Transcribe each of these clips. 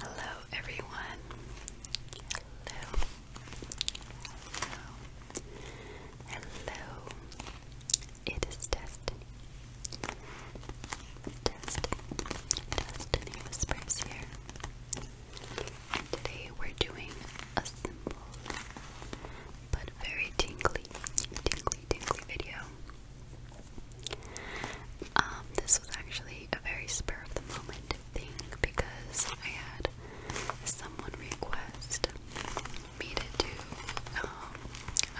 Hello everyone. Hello. Hello. Hello. It is Destiny. Destiny. Destiny Whispers here. today we're doing a simple but very tingly, tingly, tingly video. Um, this was actually a very spur of the moment thing because I had someone request me to do um,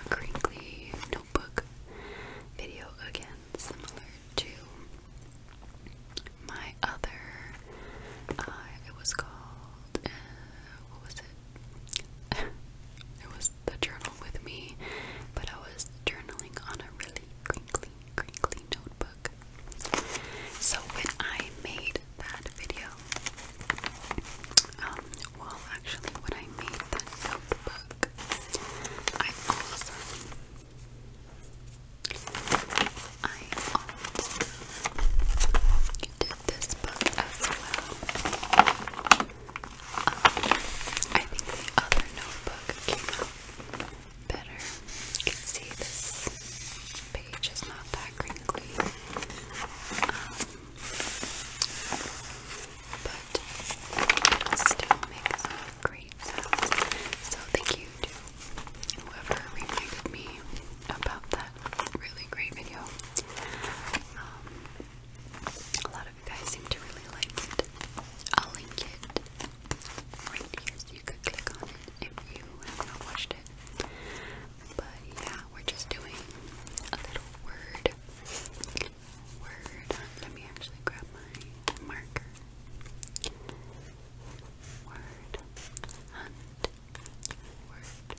a crinkly notebook video again, similar to my other. Uh, it was called. Uh, what was it? it was the journal with me, but I was journaling on a really crinkly, crinkly notebook. So when I made that video, um, well, actually, when I made that notebook, I also, I also this book as well. Um, I think the other notebook came out better. You can see this page is not that crinkly. Um, but it still makes great So thank you to whoever reminded me about that really great video. Um, a lot of you guys seem to really like it. I'll link it right here, you could click on it if you have not watched it. But yeah, we're just doing a little word. Word. Let me actually grab my marker. Word. Hunt. Word.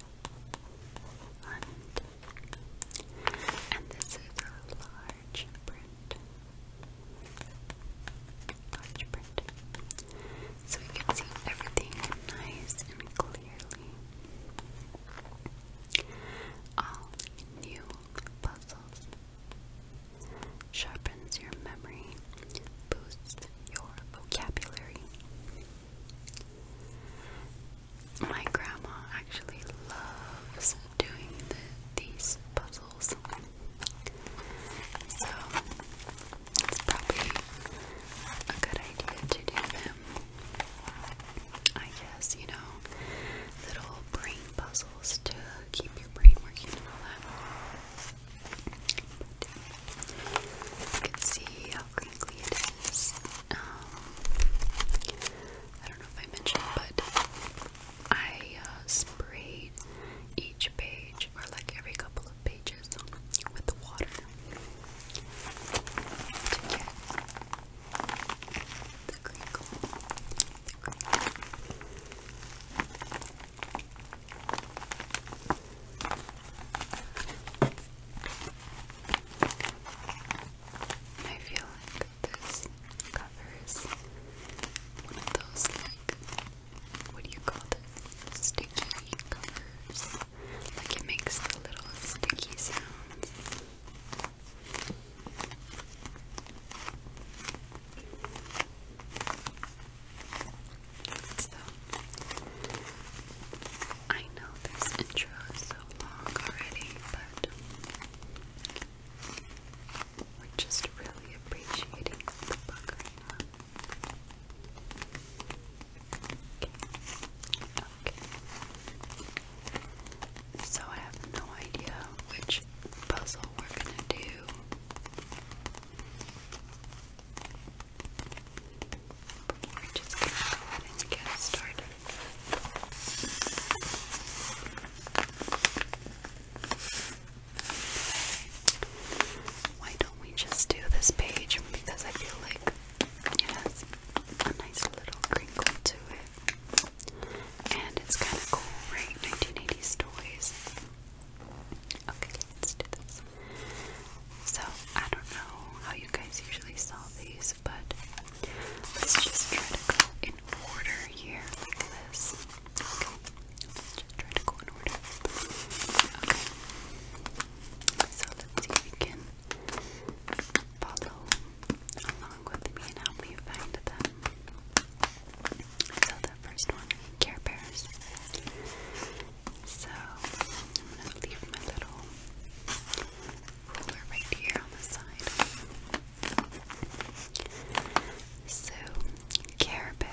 Hunt. And this is a large print. So we can see everything nice and clearly. All new puzzles. Sharpens your memory, boosts your vocabulary. My grandma actually loves doing these puzzles. So it's probably a good idea to do them. I guess, you know, little brain puzzles to keep your brain working and all that. But uh, you see how crinkly it is. Um, I don't know if I mentioned, but I uh, each page, or like every couple of pages, with the water I feel like this covers one of those, like, what do you call this? Sticky covers. Like, it makes the little sticky sounds. So, I know this intro is so long already, but we're just really appreciating the book right now. Okay. okay. So I have no idea which puzzle we're gonna do. But we just get started. Why don't we just do this page? Because I feel like it has a nice little crinkle to it. And it's kind of cool, right? 1980s toys. Okay, let's do this. So, I don't know how you guys usually saw these, but let's just try to go in order here like this just try to go in order. Okay. So let's see if you can follow along with me and help me find them. So the first one, Care Bears. So I'm gonna leave my little ruler right here on the side. So, Care Bear.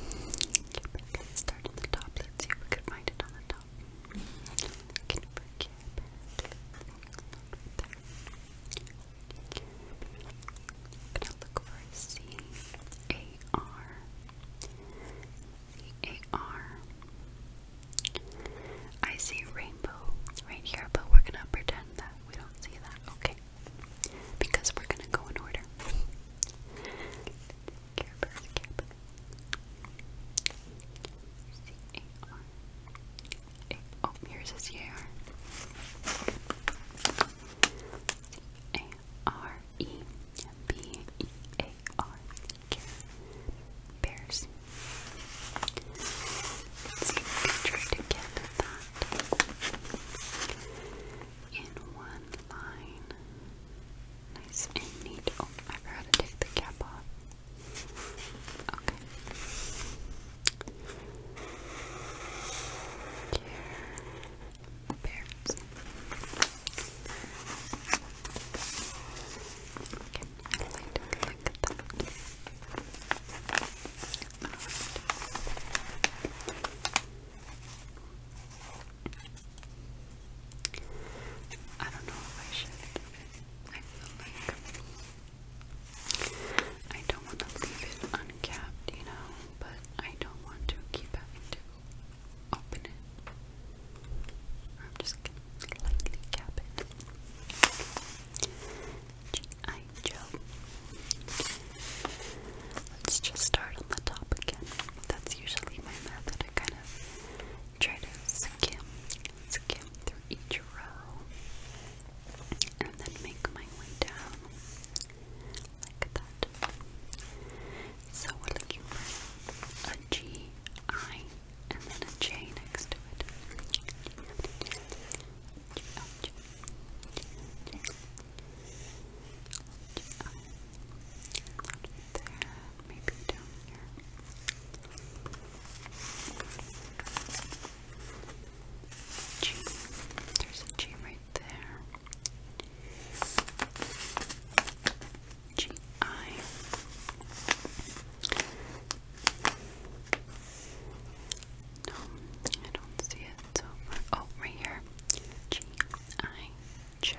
Okay, start at the top. Let's see if we can find it on the top. Looking for Care gonna look for C A R C A R I see rainbow right here, but we're gonna pretend that we don't see that, okay? Because we're gonna go in order. Care Bears, Care Bears. Care Bears. Let's get that in one line. Nice and neat. Oh, I forgot to take the cap off. Okay. Here. Bears. Okay. I don't know if I should. I feel like I don't want to leave it uncapped, you know, but I don't want to keep having to open it. I'm just gonna lightly cap it. G.I. Joe. Let's just start on the top again. That's usually my method. I kind of try to skim, skim through each row, and then make my way down like that. So we're looking for a G I and then a J next to it. There. Maybe down here. G. There's a G right there. G I no, I don't see it so far. Oh, right here. G I Joe.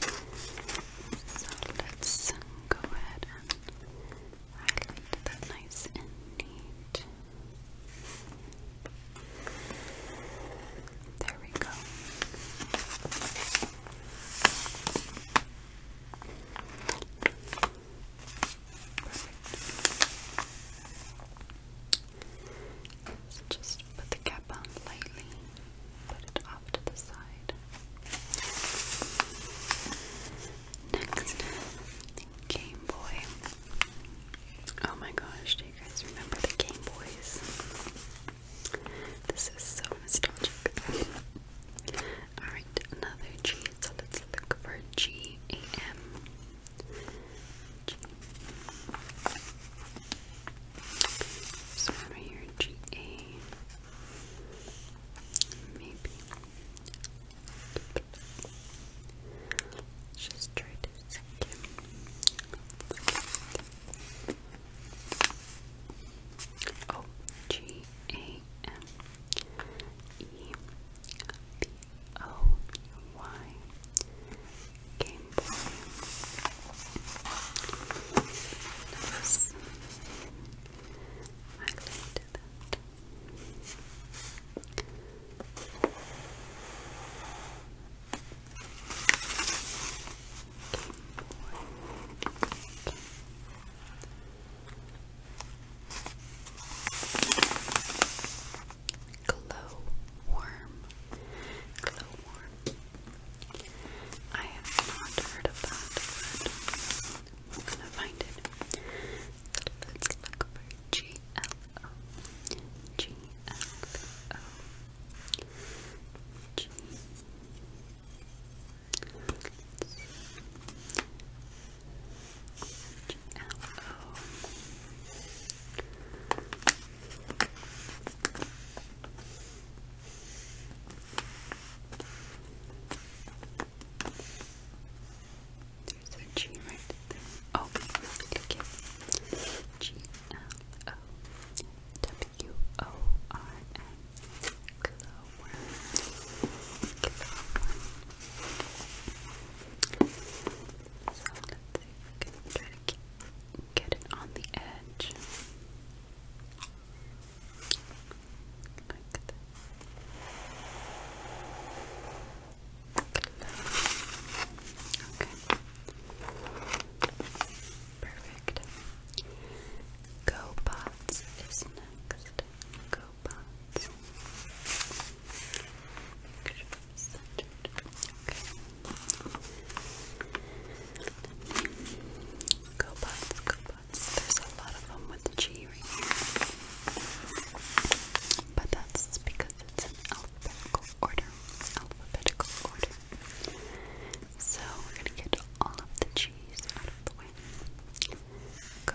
So let's go ahead and highlight that nice and neat. There we go just put the cap on lightly, put it off to the side. Next, Game Boy. Oh my gosh, do you guys remember the Game Boys? This is so nostalgic. Alright, another G. So let's look for G A M. G. So here, G A. Maybe. Let's just try to second. Oh, G A a M E B O Y Game Boy. I linked that. Game Boy. Glowworm. Glowworm. I have not heard of that, but we gonna find it. Let's look for there's a G right there. Oh, okay. G L O W O R N. So let's try to get it on the edge. Perfect. Go bots is next. Go pots, go pots. There's a lot of them with the G right here. But that's because it's in alphabetical order. Alphabetical order. So we're gonna get all of the cheese out of the way. Go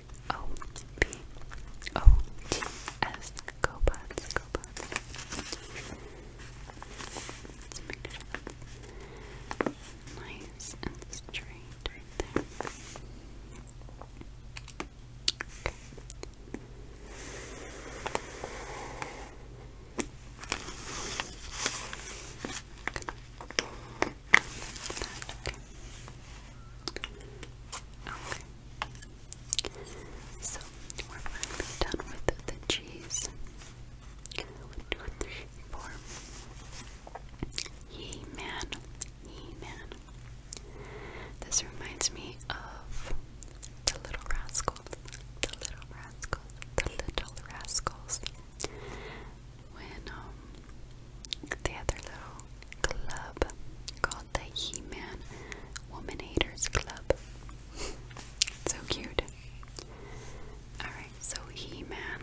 O B O T S GoBots GoBots. Let's nice and straight right there. Okay. So we're done with the cheese. One, two, three, four. He man, he man. This reminds me of uh, the Little Rascals, the Little Rascals, the Little Rascals. When um, they had little club called the He Man Woman Haters Club. so cute. Alright, so He Man.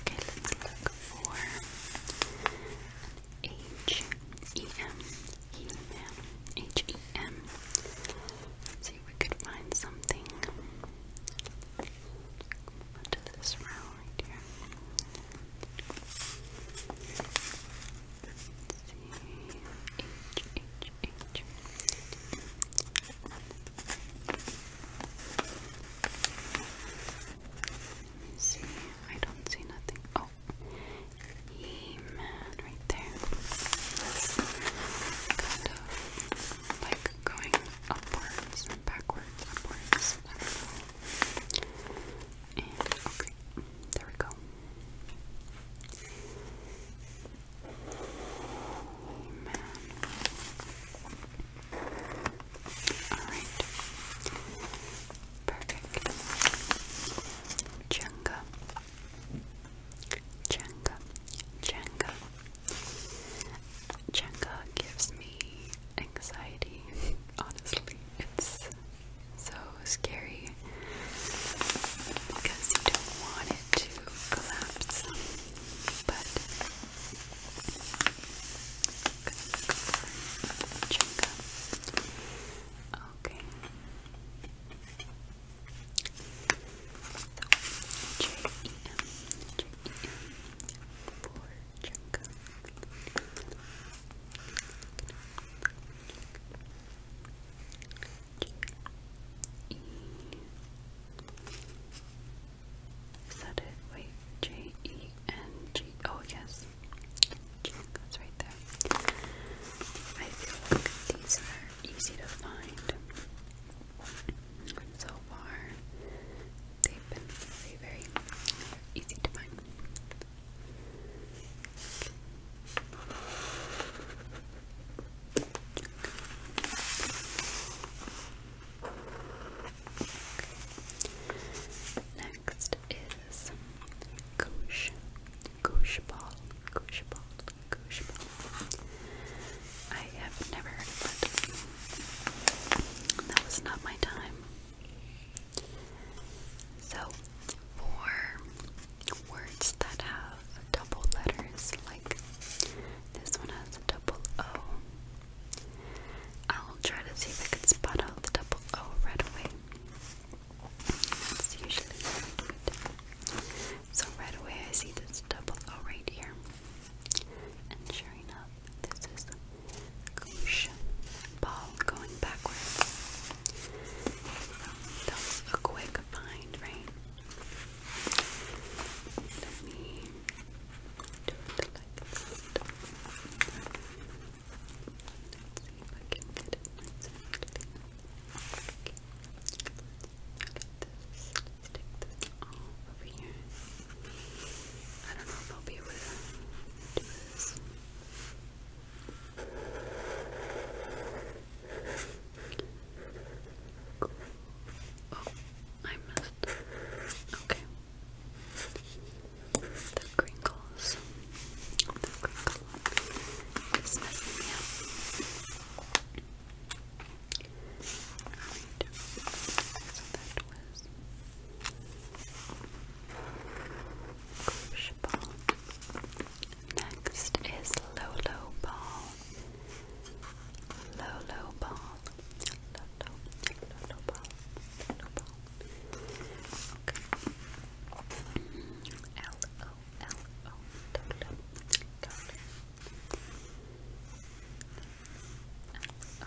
Okay, let's look for H E M. He Man. H see if we could find something. What this round? right here. see. I don't see nothing. Oh, E man, right there. kind of like going upwards and backwards, upwards. I do okay, there we go. Amen. Alright. Perfect. Jenga. Jenga. Jenga. Jenga gives me anxiety, honestly. It's so scary because you don't want it to collapse. But Okay. Check. J. Is that it? Wait, J E N G. Oh yes, that's right there. I feel like these are easy to find so far. They've been very, very easy to find. Next is Goosh. Goosh ball. Goosh I have never heard of That was not my time. So, for words that have double letters, like this one has a double O, I'll try to see if I can spot out the double O right away. It's usually So, right away, I see this double O right here. And sure enough, this is Goosh Ball going backwards. That a quick find, right? Let me do it like that. Let's see if I can get it Let's take this off over here. I don't know if I'll be able to do this. Cool. Oh, I missed. Okay. The crinkles. The crinkle is messing me up. Alright. So that was Next is Lolo ball. Lolo ball. Lolo, ball. Okay. L O L O.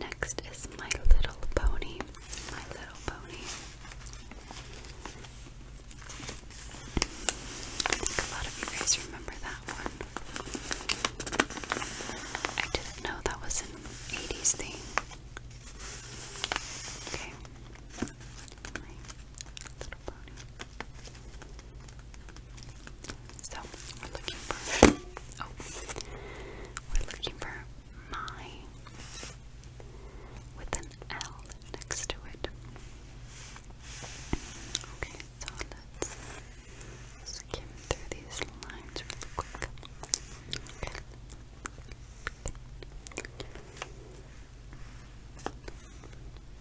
Next is My Little Pony. My Little Pony. a lot of you guys remember that one. I didn't know that was an 80s thing. Okay. So we're looking for oh we're looking for my with an L next to it. Okay, so let's skim through these lines really quick. Okay.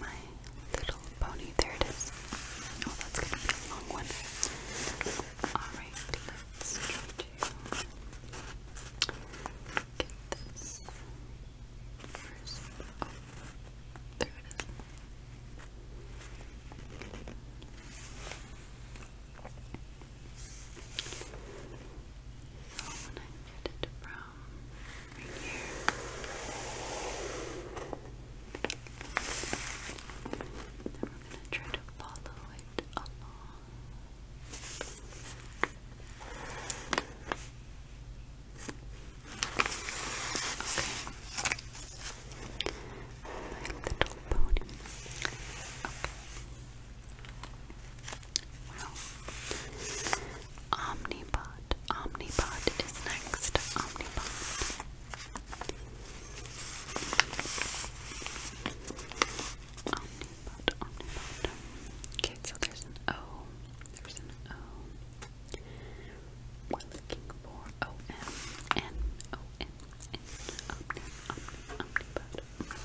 my little pony. There it is. Oh, that's gonna be a long one. Alright, let's get this first. Oh, there it is. So when I get it from right here. going to try to follow it along. Okay. My little pony. Omnipod. Omnipod is next. Omnipod. Omnipod. Okay, so there's an O. There's an O. looking for O M N O N N Omnipod. Omnipod.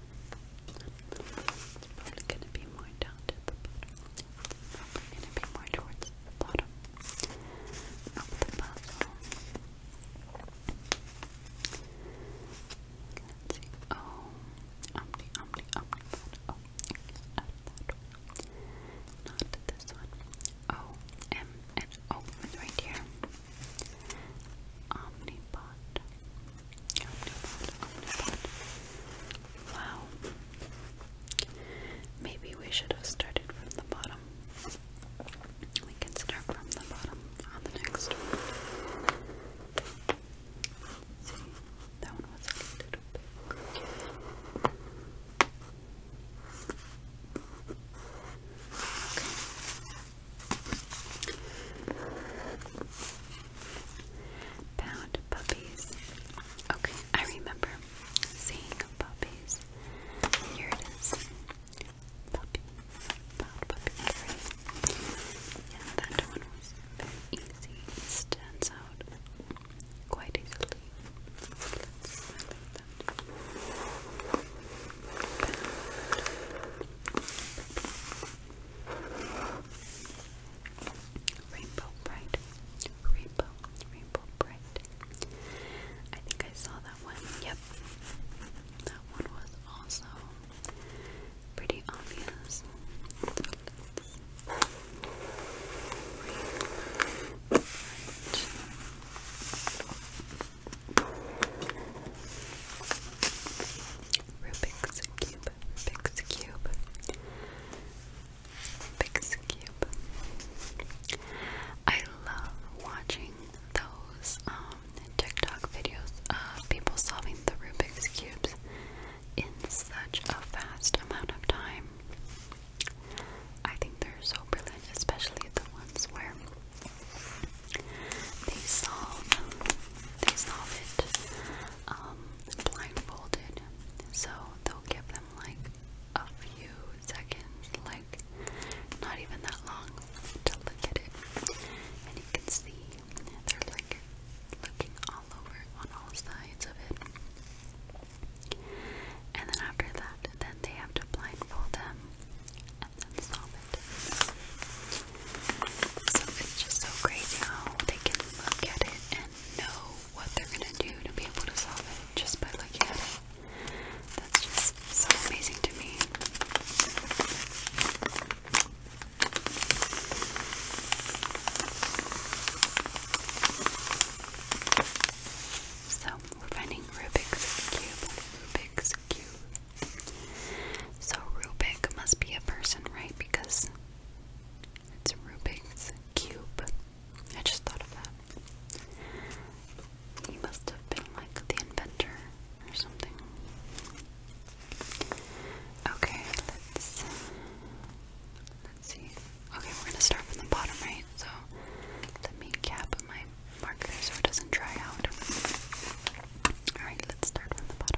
It's probably gonna be more down to the bottom. gonna be more towards the bottom of see. Oh, omni, omni, omni. Oh, not that one. Not this and O oh, oh, right here. Omnipod. Wow. Maybe we should have started from the bottom. We can start from the bottom on the next See, that one was a little bit Pound puppies. Okay, I remember seeing puppies. Here it is. Puppies. Pound puppies. Yeah, that one was very easy. stands out quite easily. Puppies. Rainbow Bright. Rainbow, Rainbow Bright. I think I saw that one. Yep. That one was also pretty obvious. Rubik's Cube, Rubik's Cube, Rubik's Cube. I love watching those um, TikTok videos of people solving the Rubik's Cubes in such a fast amount of time. I think they're so brilliant, especially the ones where they solve, they solve it um, blindfolded, so they'll give them like a few seconds, like not even that long, to look at it. And you can see they're like looking all over on all sides of it. And then after that, then they have to blindfold them and then solve it. So it's just so crazy how they can look at it and know what they're gonna do to be able to solve it just by looking at it. That's just so amazing to me. So we're finding Rubik's Cube. Rubik's Cube. So Rubik must be a person, right? Because it's a Rubik's Cube. I just thought of that. He must have been like the inventor or something. Okay, let's let's see. Okay, we're gonna start from the bottom, right? So let me cap my marker so it doesn't dry out. Alright, let's start from the bottom.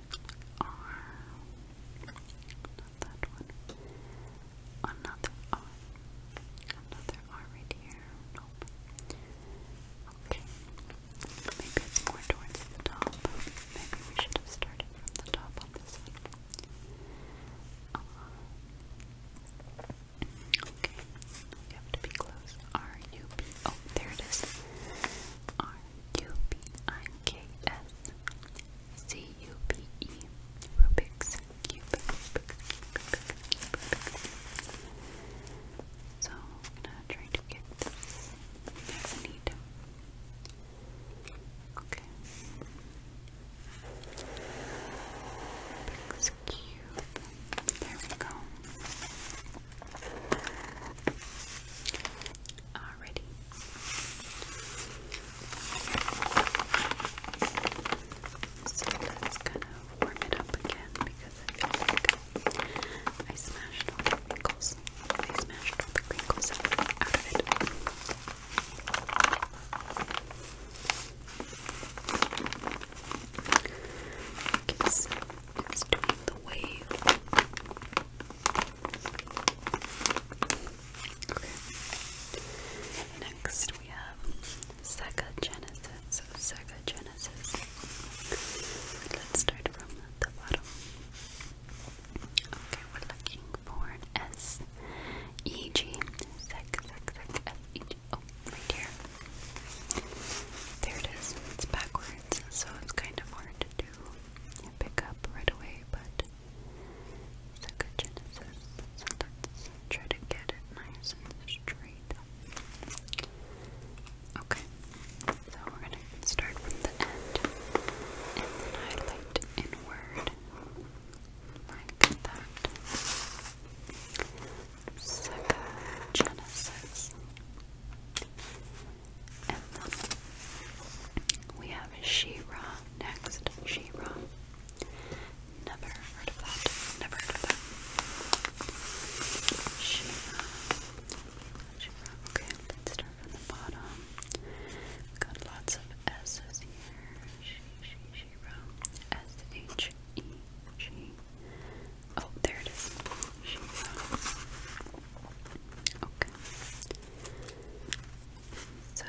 R. Oh, Another R. Another R right here. Okay. Maybe it's more towards the top. Maybe we should have started from the top on this one. Uh, okay. You be close. R U B. Oh, there it is. R U B I K S C U B E Rubik's Cube. So I'm gonna try to get this neat. Okay. There we go. Alrighty. So let's warm it up again because I feel like I smashed all the wrinkles. I smashed all the wrinkles out of it. Okay, it's doing the wave. Next we have Sega Genesis. So Genesis. Let's start from the bottom. Okay, we're looking for an S E G Oh, right here. There it is. It's backwards, so it's kind of hard pick up right away, but it's genesis, so try to get it nice and straight. Okay, so we're going to start from the end, and highlight inward, like that. Psychogenesis we have she next. She-Ra. Never heard of that. Never heard of that. She-Ra. Okay, let's start from the bottom. got lots of S's here. She, she, Oh, there it is. Okay. So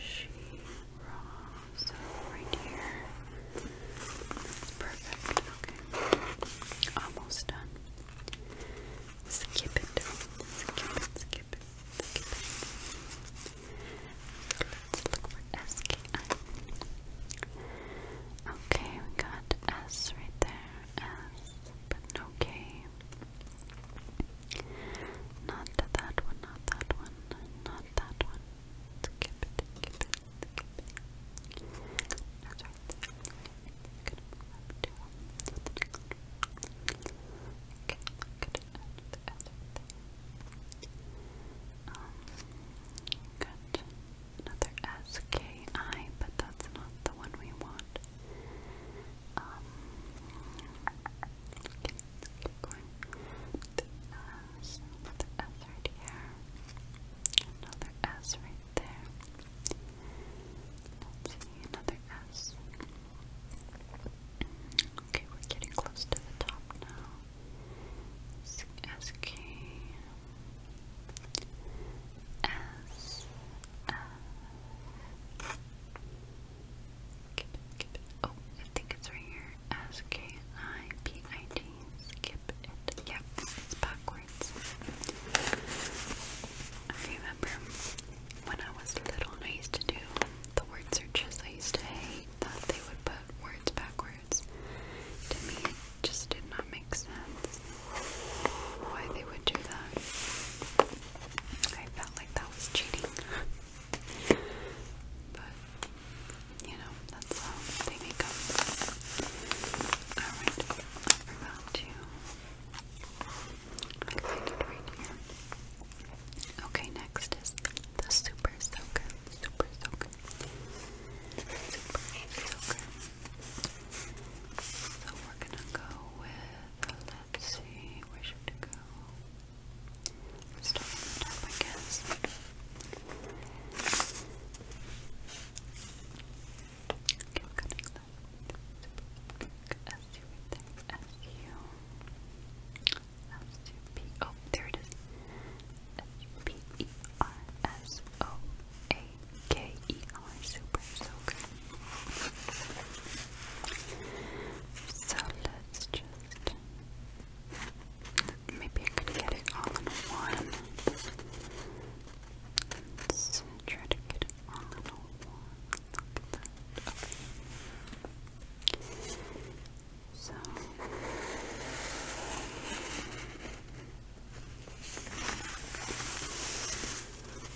she raw. right here. That's perfect. Okay. Almost done. Skip it. Skip it. Skip it. Skip it. Let's look for S K I. Okay, we got S right there. S but no Not that one, not that one, not that one. Skip it, skip it, skip it. That's right there. Okay, i good another SKI, but that's not the one we want. Um, let going. Uh, so another S right here, another S right there. Let's see, another S. Okay, we're getting close to the top now. SK, S F skip it, skip it. Oh, I think it's right here. S K I P I T. Skip it. Yep, it's backwards. I remember when I was little and I used to do the word searches. I used to hate that they would put words backwards. To me, it just did not sense why they would do that. I felt like that was cheating. but, you know, that's how they make up. Alright, I forgot to Okay, next is the Super Soaker. Super Soaker. Super Soaker. So we're gonna go with, let's see, where should we go? Let's start I guess. Okay, we're going oh, there it is, S-U-P-E-R-S-O a-K-E-R, super, so So let's just, maybe I could get it all in one. try to get it all in one. So.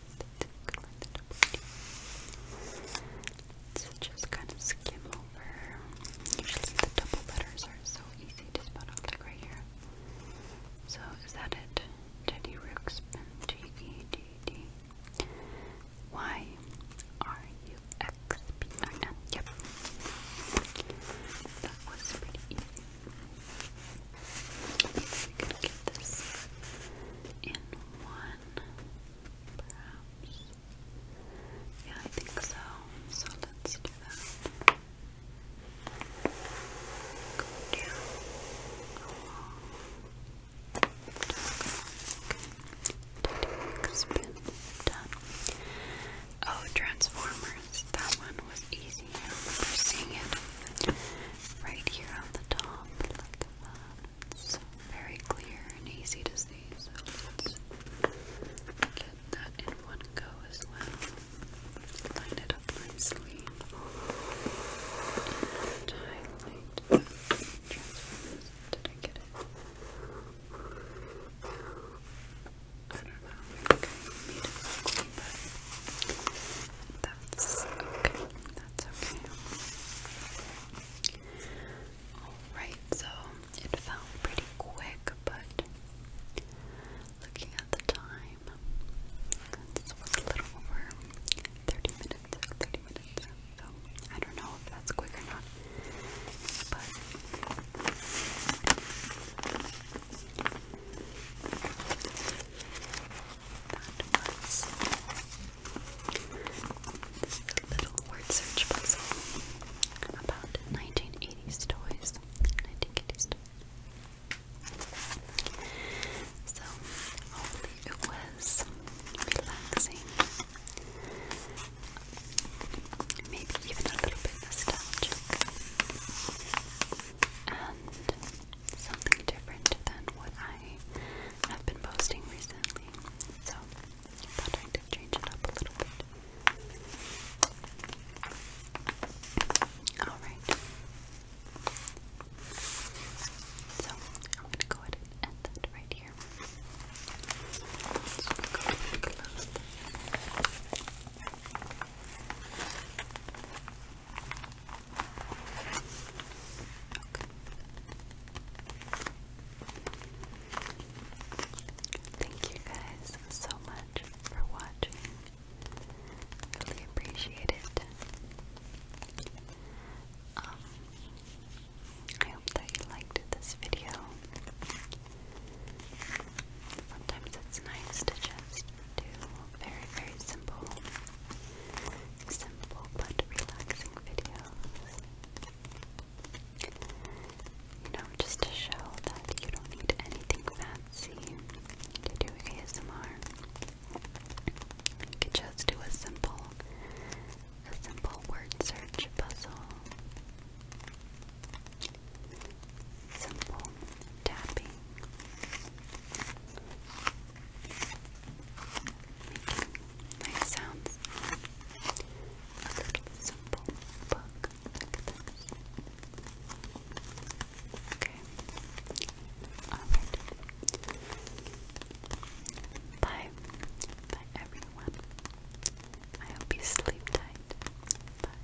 Let's just kind of skim over. Usually the double letters are so easy to spell out, like right here. So is that it? Teddy Ruxpin, T E D D Y R U X P I N. Yep. That was pretty we could get this in one, perhaps. Yeah, I think so. So let's do that. Go down along. Oh, Transformers. That one was easy. We're seeing it right here on the top, It's very clear and easy to see, so let's get that in one go as well. Line it up nicely. highlight. Did I get it? I don't know. I that's okay. That's okay. Alright, so it felt pretty quick, but looking at the time, this was a little over 30 minutes. 30 minutes. So I don't know if that's quick or not. But that was this little word search puzzle about 1980s toys. So it was relaxing. Maybe even a little bit nostalgic and something different than what I have been posting recently. So I thought I'd change it up a little bit. Alright. So I'm gonna go ahead and end that right here. So i go close Thank you guys so much for watching. Really appreciate it. Um, I hope that you liked this video. Sometimes it's nice to just to very, very simple, simple but relaxing videos. You know, just to show that you don't need anything fancy to do ASMR. You could just do a simple, a simple word search puzzle. Simple tapping. Nice sounds. A little simple book. Look at this. Okay. Alright. Bye. Bye everyone. I hope you sleep tight. Bye.